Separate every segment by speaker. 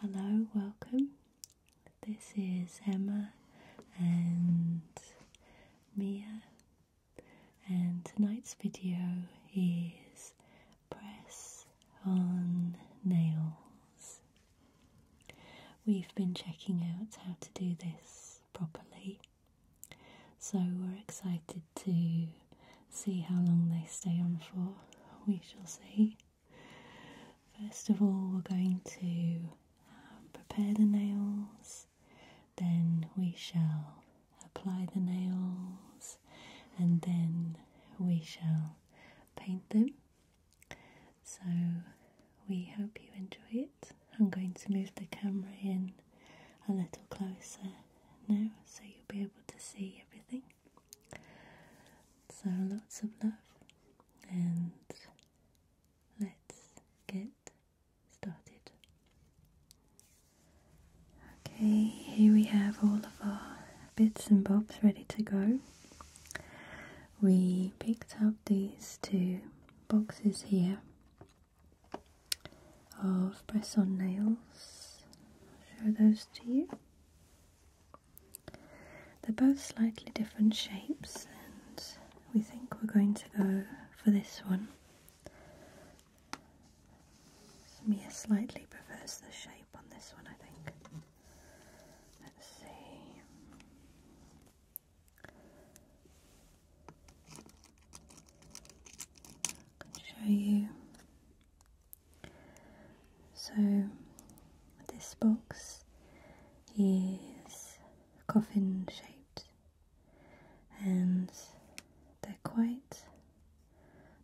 Speaker 1: Hello, welcome. This is Emma and Mia, and tonight's video is press on nails. We've been checking out how to do this properly, so we're excited to see how long they stay on for. We shall see. First of all, we're going to uh, prepare the nails, then we shall apply the nails, and then we shall paint them. So, we hope you enjoy it. I'm going to move the camera in a little closer now so you'll be able to see everything. So lots of love and let's get started. Okay, here we have all of our bits and bobs ready to go. We picked up these two boxes here of press nails. I'll show those to you. They're both slightly different shapes, and we think we're going to go for this one. Mia slightly prefers the shape on this one, I think. Let's see. can show you so, this box is coffin shaped and they're quite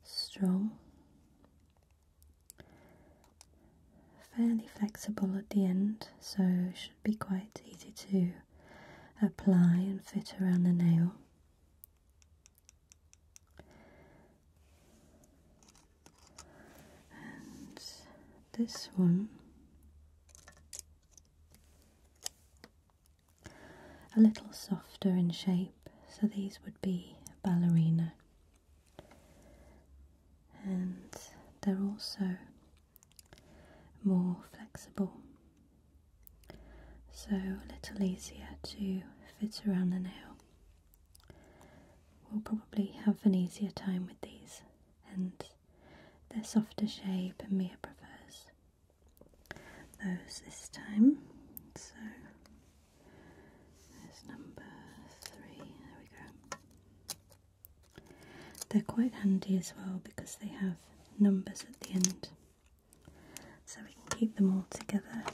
Speaker 1: strong, fairly flexible at the end, so should be quite easy to apply and fit around the nail and this one a little softer in shape, so these would be ballerina, and they're also more flexible so a little easier to fit around the nail. We'll probably have an easier time with these and their softer shape and Mia prefers those this time. So there's number three, there we go. They're quite handy as well because they have numbers at the end so we can keep them all together.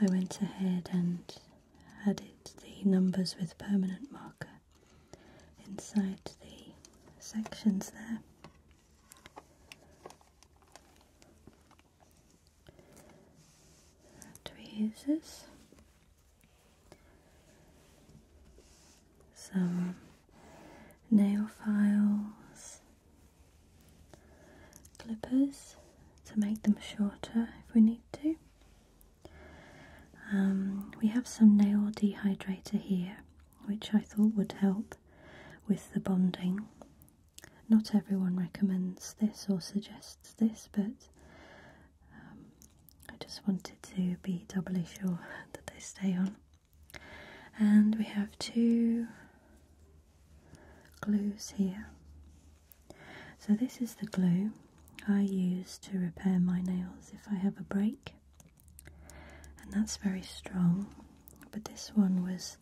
Speaker 1: I went ahead and added the numbers with permanent marker inside the sections there. That some nail files, clippers to make them shorter if we need to. Um, we have some nail dehydrator here, which I thought would help with the bonding. Not everyone recommends this or suggests this, but um, I just wanted to be doubly sure that they stay on and we have two glues here. So this is the glue I use to repair my nails if I have a break and that's very strong but this one was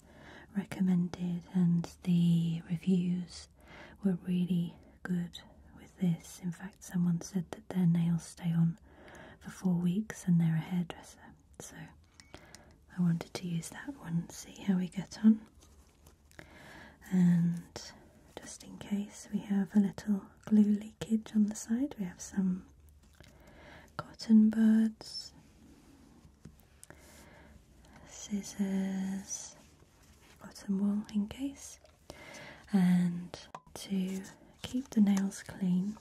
Speaker 1: recommended and the reviews were really good with this. In fact someone said that their nails stay on for four weeks and they're a hairdresser. So I wanted to use that one, see how we get on. And just in case we have a little glue leakage on the side, we have some cotton buds, scissors, cotton wool in case. And to keep the nails clean,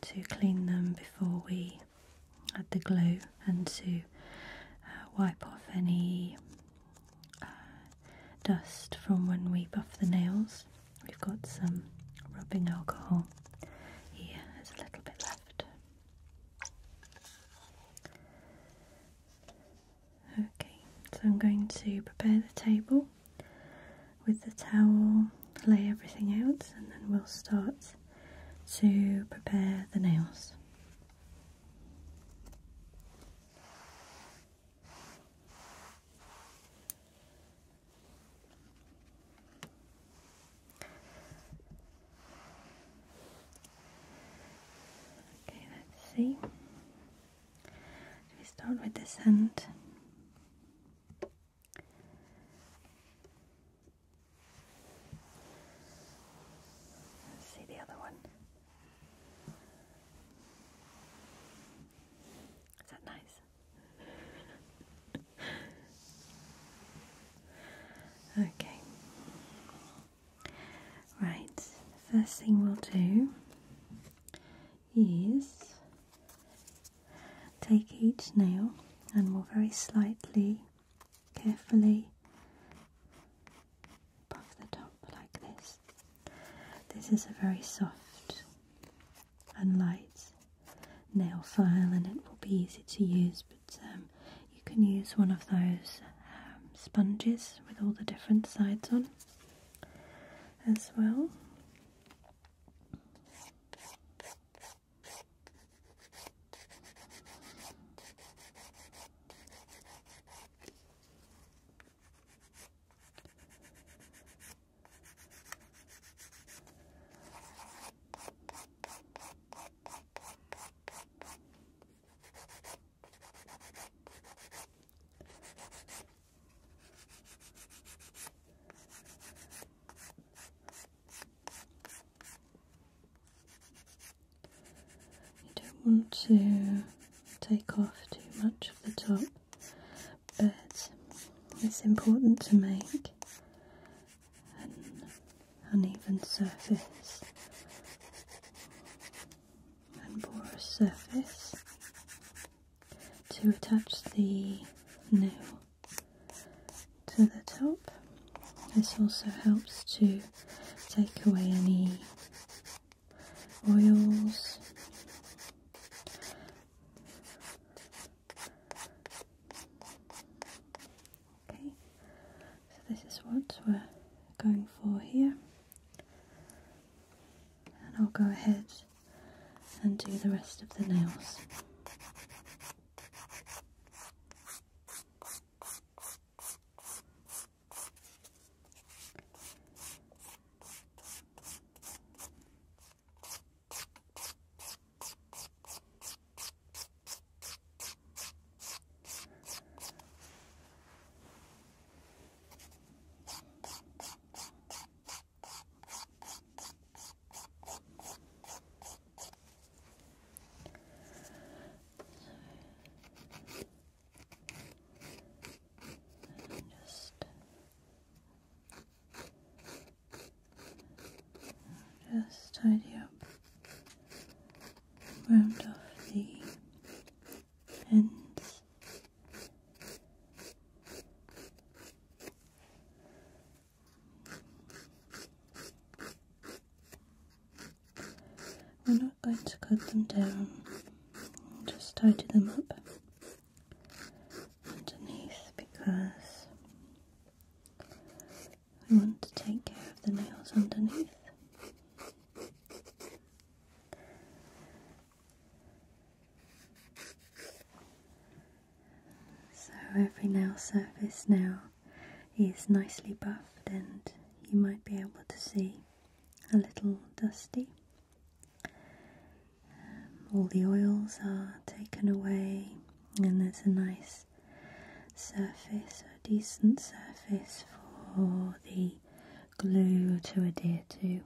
Speaker 1: to clean them before we add the glue and to uh, wipe off any uh, dust from when we buff the nails. We've got some rubbing alcohol here, there's a little bit left. Okay, so I'm going to prepare the table with the towel, lay everything out, and then we'll start to prepare the nails. Okay, let's see we start with this end? see the other one. Is that nice? okay. Right, first thing we'll do is take each nail and we'll very slightly, carefully puff the top like this. This is a very soft and light nail file and it will be easy to use but um, you can use one of those um, sponges with all the different sides on as well. You don't want to take off too much of the top, but it's important to make an uneven surface and porous surface to attach the nail to the top. This also helps to take away any oils Okay, so this is what we're going for here and I'll go ahead and do the rest of the nails just tidy up round off the we're not going to cut them down, just tidy them up underneath because we want to take care of the nails underneath. So every nail surface now is nicely buffed and you might be able to see a little dusty. Um, all the oils are taken away and there's a nice surface, a decent surface for the glue to adhere to,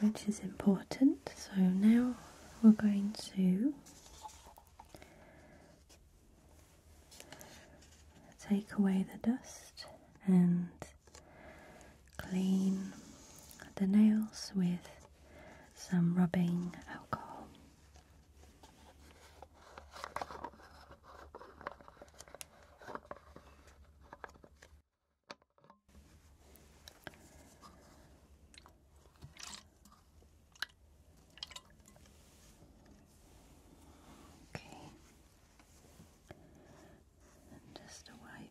Speaker 1: which is important. So now we're going to take away the dust and clean the nails with some rubbing alcohol. Okay. just a wipe.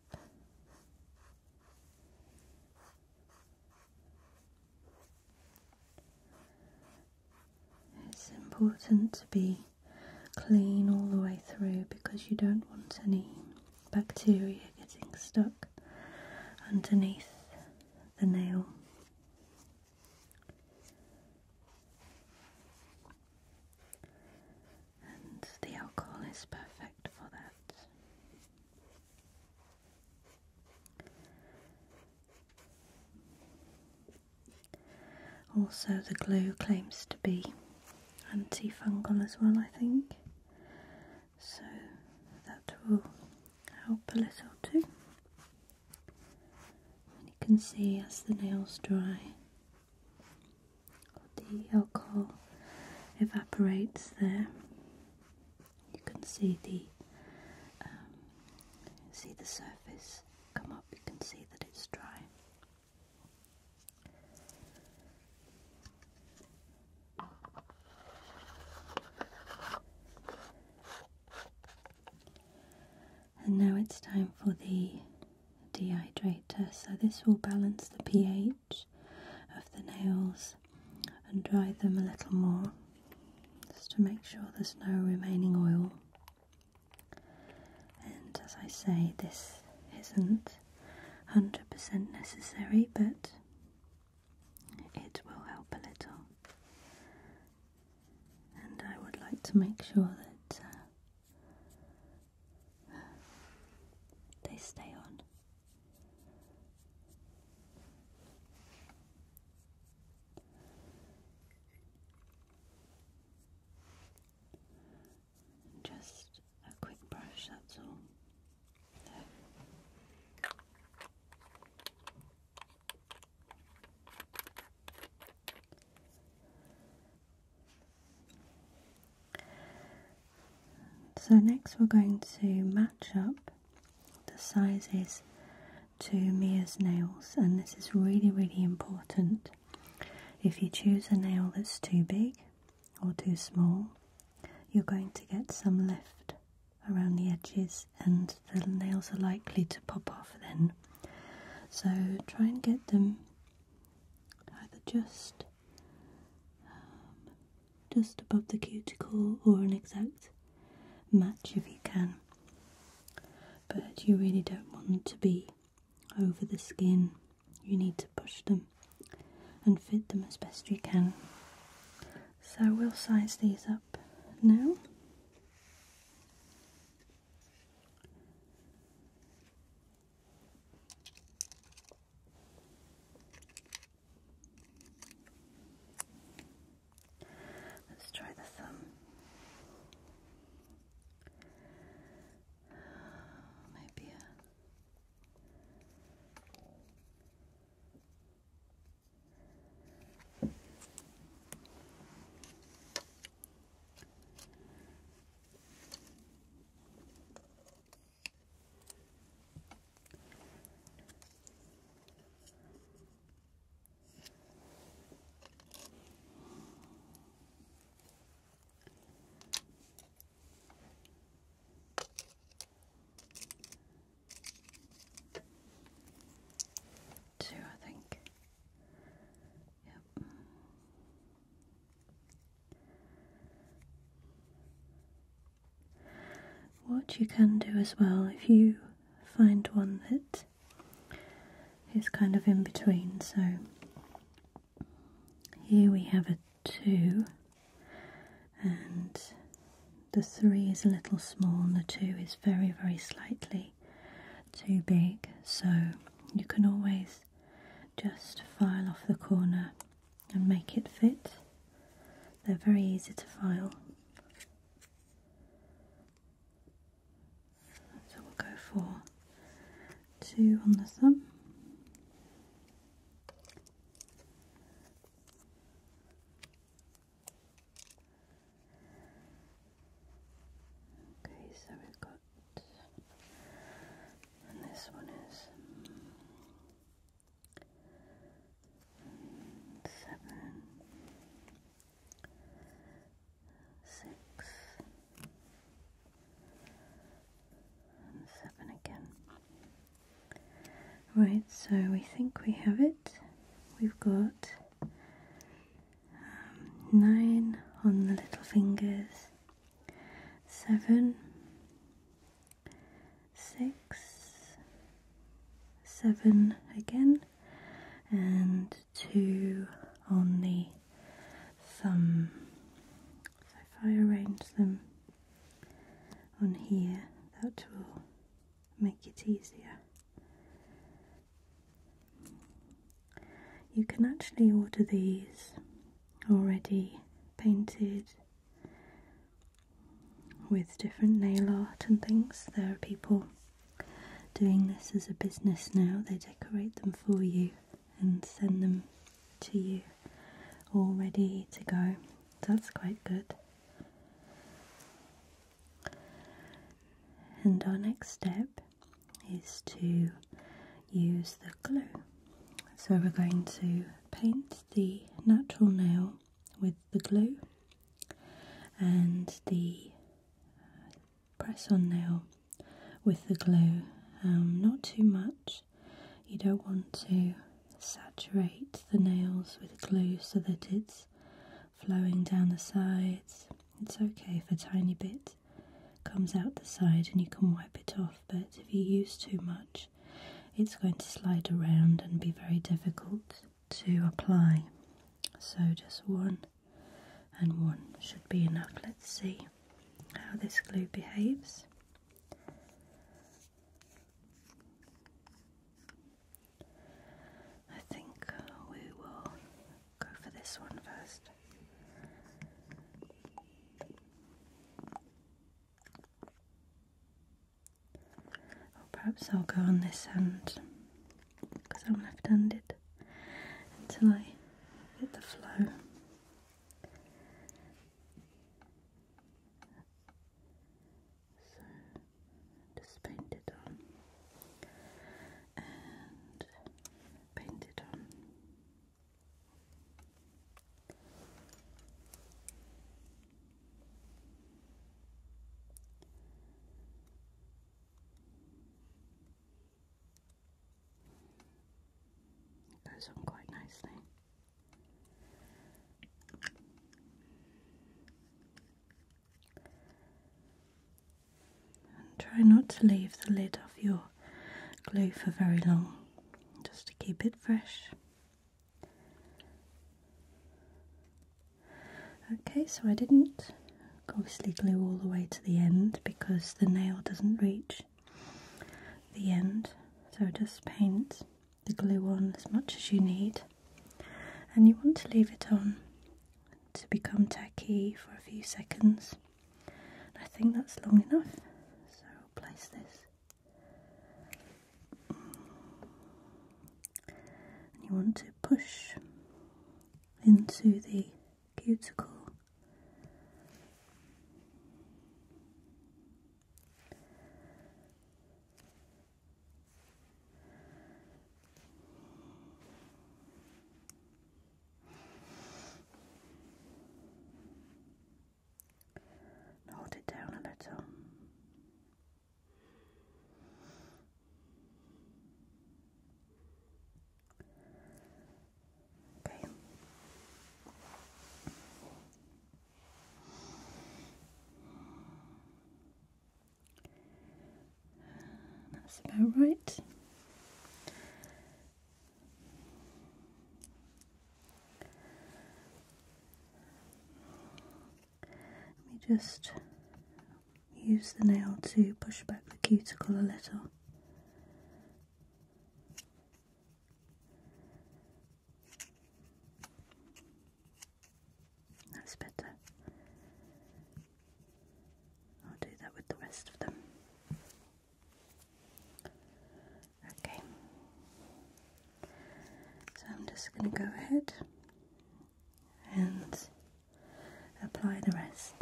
Speaker 1: It's important to be clean all the way through because you don't want any bacteria getting stuck underneath the nail. And the alcohol is perfect for that. Also, the glue claims to be antifungal as well, I think. So that will help a little too. you can see as the nails dry, the alcohol evaporates there. You can see the um, see the surface come up. You can see that it's dry. And now it's time for the dehydrator. So, this will balance the pH of the nails and dry them a little more just to make sure there's no remaining oil. And as I say, this isn't 100% necessary, but it will help a little. And I would like to make sure that uh, they stay on. Just a quick brush, that's all. So, next we're going to match up the sizes to Mia's nails, and this is really, really important if you choose a nail that's too big or too small, you're going to get some lift around the edges and the nails are likely to pop off then. So try and get them either just um, just above the cuticle or an exact match if you can. But you really don't want to be over the skin you need to push them and fit them as best you can. So we'll size these up now. Let's try the thumb. Uh, maybe a Two, I think. Yep. What you can do as well, if you find one that is kind of in between, so here we have a 2 and the 3 is a little small and the 2 is very very slightly too big so you can always just file off the corner and make it fit. They're very easy to file. So we'll go for two on the thumb. Okay, so we've got, this one is seven, six and seven again. Right, so we think we have it. We've got um, nine on the little fingers, seven, six, seven again, and two on the thumb. So if I arrange them on here, that will make it easier. You can actually order these already painted with different nail art and things. There are people doing this as a business now, they decorate them for you and send them to you all ready to go. That's quite good. And our next step is to use the glue. So we're going to paint the natural nail with the glue and the press on now with the glue, um, not too much. You don't want to saturate the nails with glue so that it's flowing down the sides. It's okay if a tiny bit comes out the side and you can wipe it off, but if you use too much, it's going to slide around and be very difficult to apply. So just one and one should be enough. Let's see how this glue behaves. I think we will go for this one first. Or perhaps I'll go on this hand because I'm left handed until I get the flow. So just paint it on and paint it on. Goes on quite nicely. And try not to leave the lid off your glue for very long, just to keep it fresh. Okay, so I didn't obviously glue all the way to the end because the nail doesn't reach the end so just paint the glue on as much as you need and you want to leave it on to become tacky for a few seconds I think that's long enough so I'll place this you want to push into the cuticle. hold it down a little. That's about right. Let me just use the nail to push back the cuticle a little. That's better. I'll do that with the rest of them. Okay. So I'm just going to go ahead and apply the rest.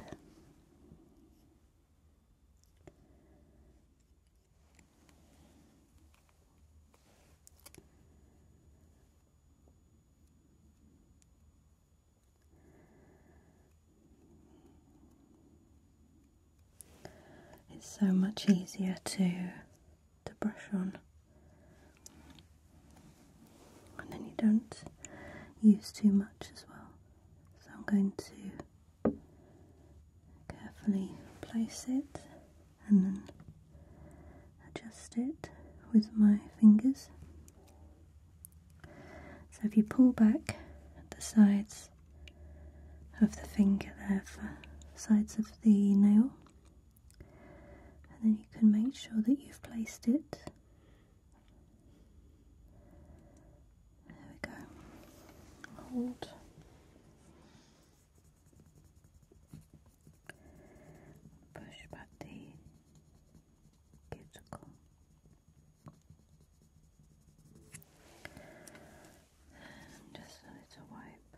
Speaker 1: It's so much easier to to brush on, and then you don't use too much as well. So I'm going to Carefully place it and then adjust it with my fingers. So if you pull back the sides of the finger there for sides of the nail and then you can make sure that you've placed it there we go. Hold. Push back the cuticle. just a little wipe.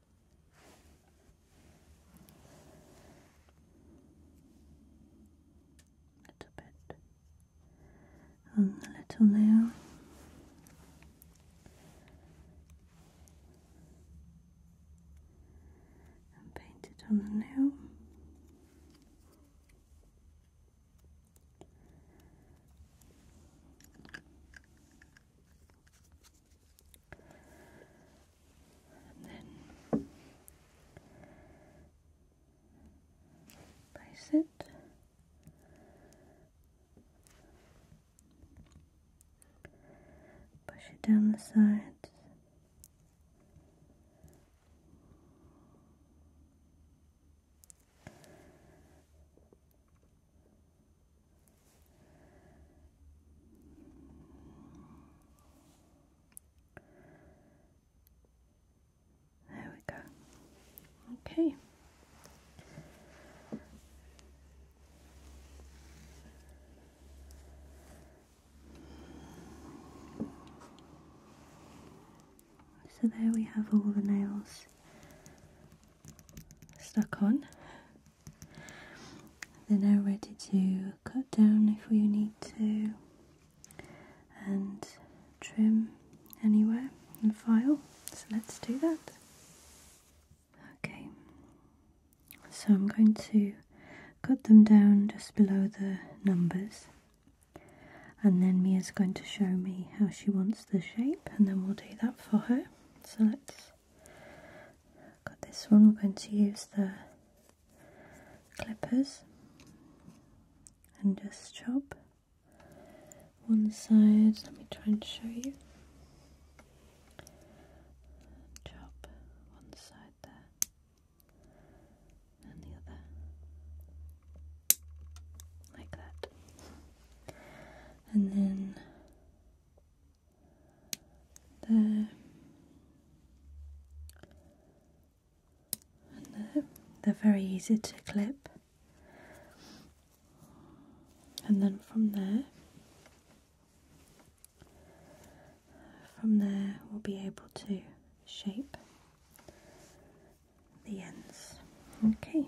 Speaker 1: It's a bit on the little nail. And paint it on the nail place it. Push it down the sides. There we go. Okay. So there we have all the nails stuck on. They're now ready to cut down if we need to and trim anywhere and file. So let's do that. Okay, so I'm going to cut them down just below the numbers and then Mia's going to show me how she wants the shape and then we'll do that for her. So let's got this one, we're going to use the clippers and just chop one side. Let me try and show you. Chop one side there and the other, like that, and then there, and They're very easy to clip, and then from there, from there, we'll be able to shape the ends. Okay.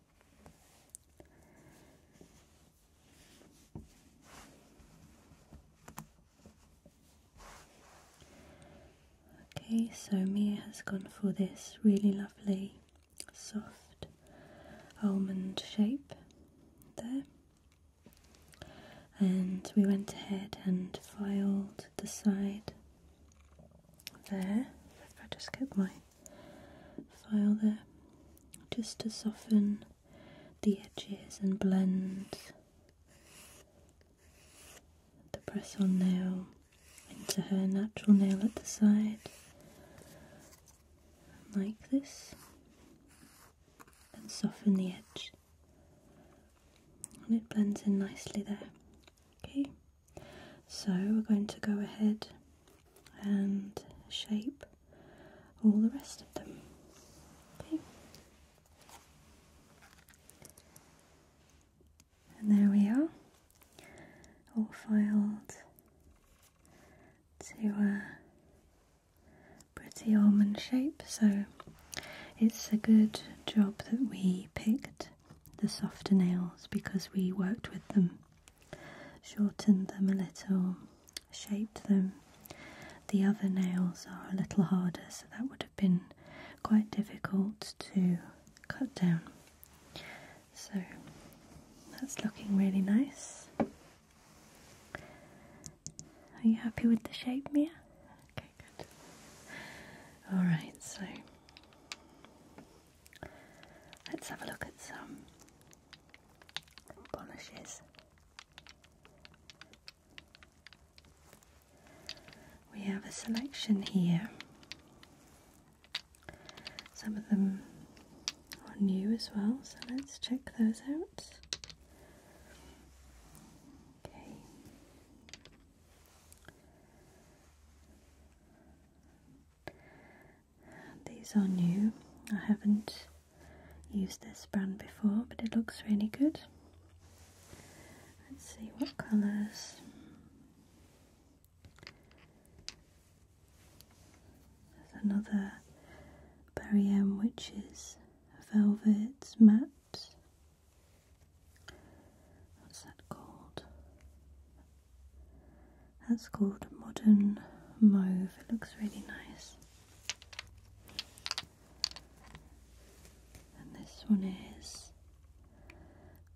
Speaker 1: Okay, so Mia has gone for this really lovely soft almond shape there. And we went ahead and filed the side there. If I just get my file there just to soften the edges and blend the press on nail into her natural nail at the side like this and soften the edge and it blends in nicely there okay so we're going to go ahead and shape all the rest of them. And there we are, all filed to a pretty almond shape. So it's a good job that we picked the softer nails because we worked with them shortened them a little, shaped them. The other nails are a little harder, so that would have been quite difficult to cut down. So that's looking really nice. Are you happy with the shape, Mia? Okay, good. Alright, so let's have a look at some Polishes. We have a selection here. Some of them are new as well, so let's check those out. Okay. These are new. I haven't used this brand before, but it looks really good. Let's see what colours. There's another Barriam, which is velvet matte. What's that called? That's called Modern Mauve. It looks really nice. And this one is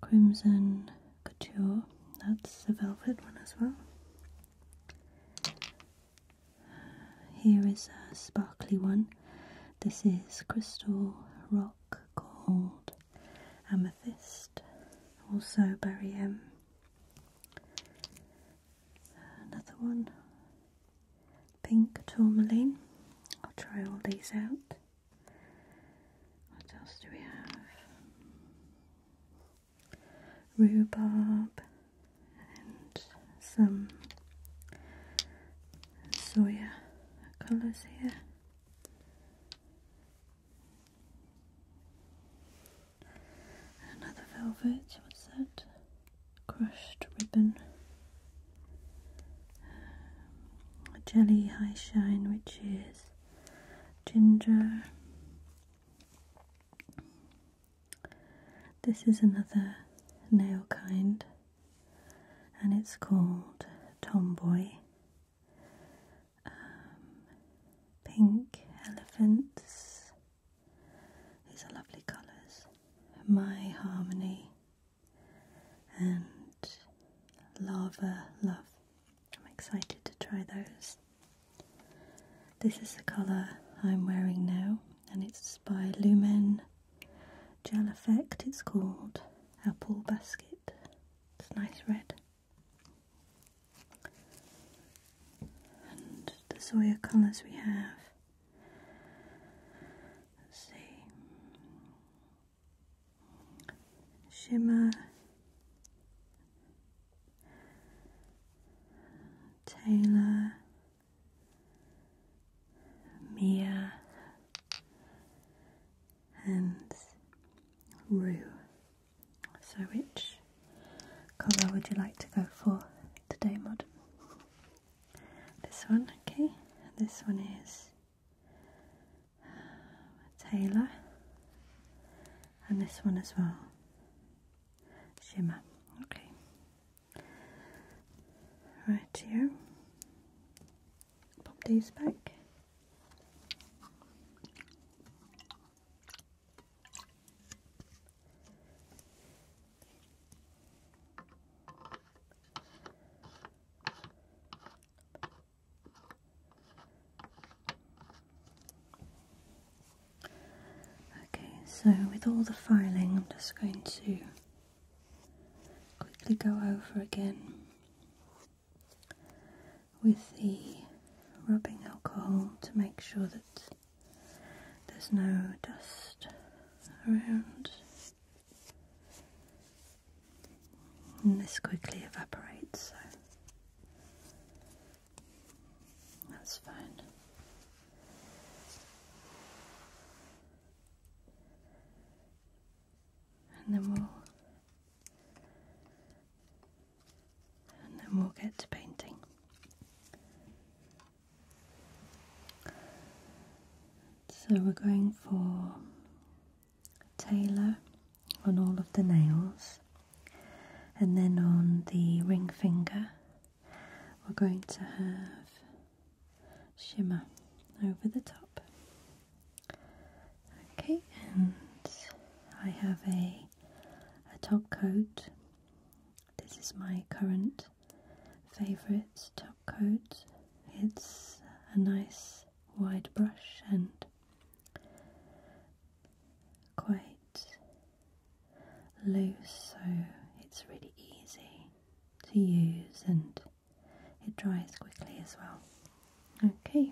Speaker 1: Crimson Couture. That's a velvet one as well. Here is a sparkly one. This is Crystal Rock called Amethyst. Also, Barry M. Another one, pink tourmaline. I'll try all these out. What else do we have? Rhubarb and some soya colours here. Another velvet, what's that? Crushed ribbon. a jelly high shine, which is ginger. This is another nail kind and it's called Tomboy. Um, pink elephants. These are lovely colours. My harmony and lava love. I'm excited to try those. This is the colour I'm wearing now, and it's by Lumen Gel Effect. It's called Apple Basket. It's nice red the Zoya colours we have. Let's see, shimmer, Taylor, Mia, and Rue. So which colour would you like to go for today, Mod? This one, okay. This one is uh, Taylor. And this one as well. Shimmer. Okay. Right here. Pop these back. Okay, so with all the filing, I'm just going to quickly go over again with the rubbing alcohol to make sure that there's no dust around and this quickly evaporates so that's fine and then we'll and then we'll get to painting. So we're going for Taylor on all of the nails and then on the ring finger we're going to have shimmer over the top. Okay, and I have a a top coat. This is my current favorite top coat. It's a nice wide brush and quite loose, so it's really easy to use and it dries quickly as well. Okay,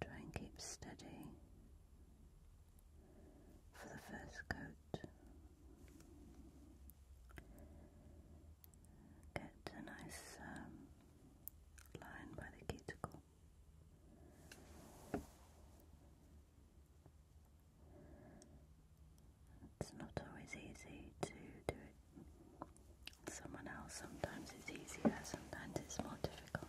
Speaker 1: Try and keep steady for the first coat. Get a nice um, line by the cuticle. It's not always easy to do it someone else. Sometimes it's easier, sometimes it's more difficult.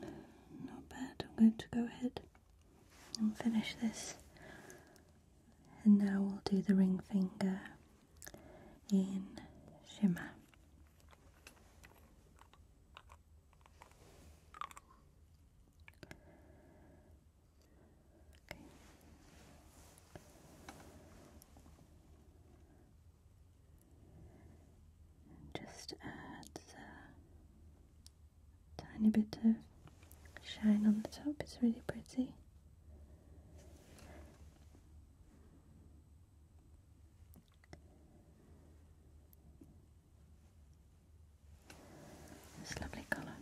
Speaker 1: Not bad. I'm going to go ahead and finish this. And now we'll do the ring finger in shimmer. Okay just adds a tiny bit of shine on the top. It's really pretty. lovely colour.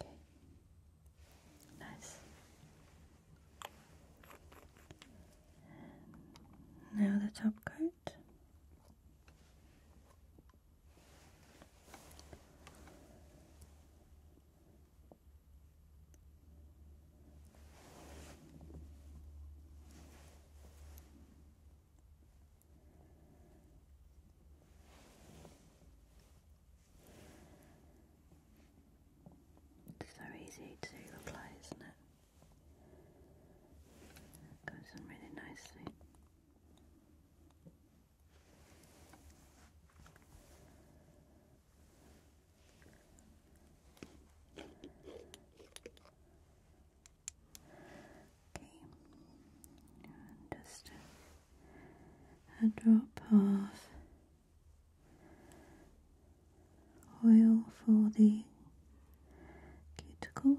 Speaker 1: Okay. Nice. Now the top coat. It's so easy to reply, isn't it? goes in really nicely. Okay, and just a, drop of oil for the cuticles.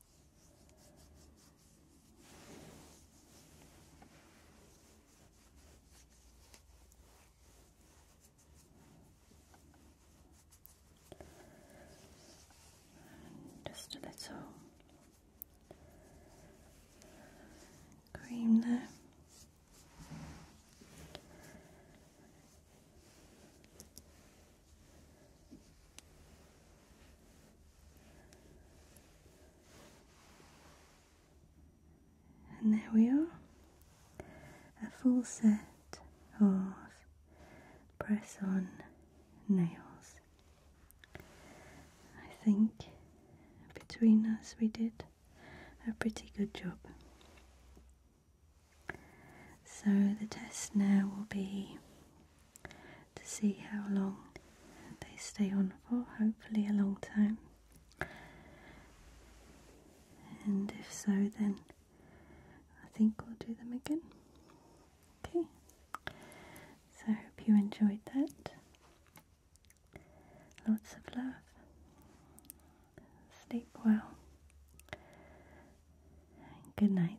Speaker 1: just a little cream there. And there we are, a full set of press on nails. I think between us we did a pretty good job. So the test now will be to see how long they stay on for, hopefully, a long time. And if so, then I think we'll do them again. Okay, so I hope you enjoyed that. Lots of love. Sleep well. Good night.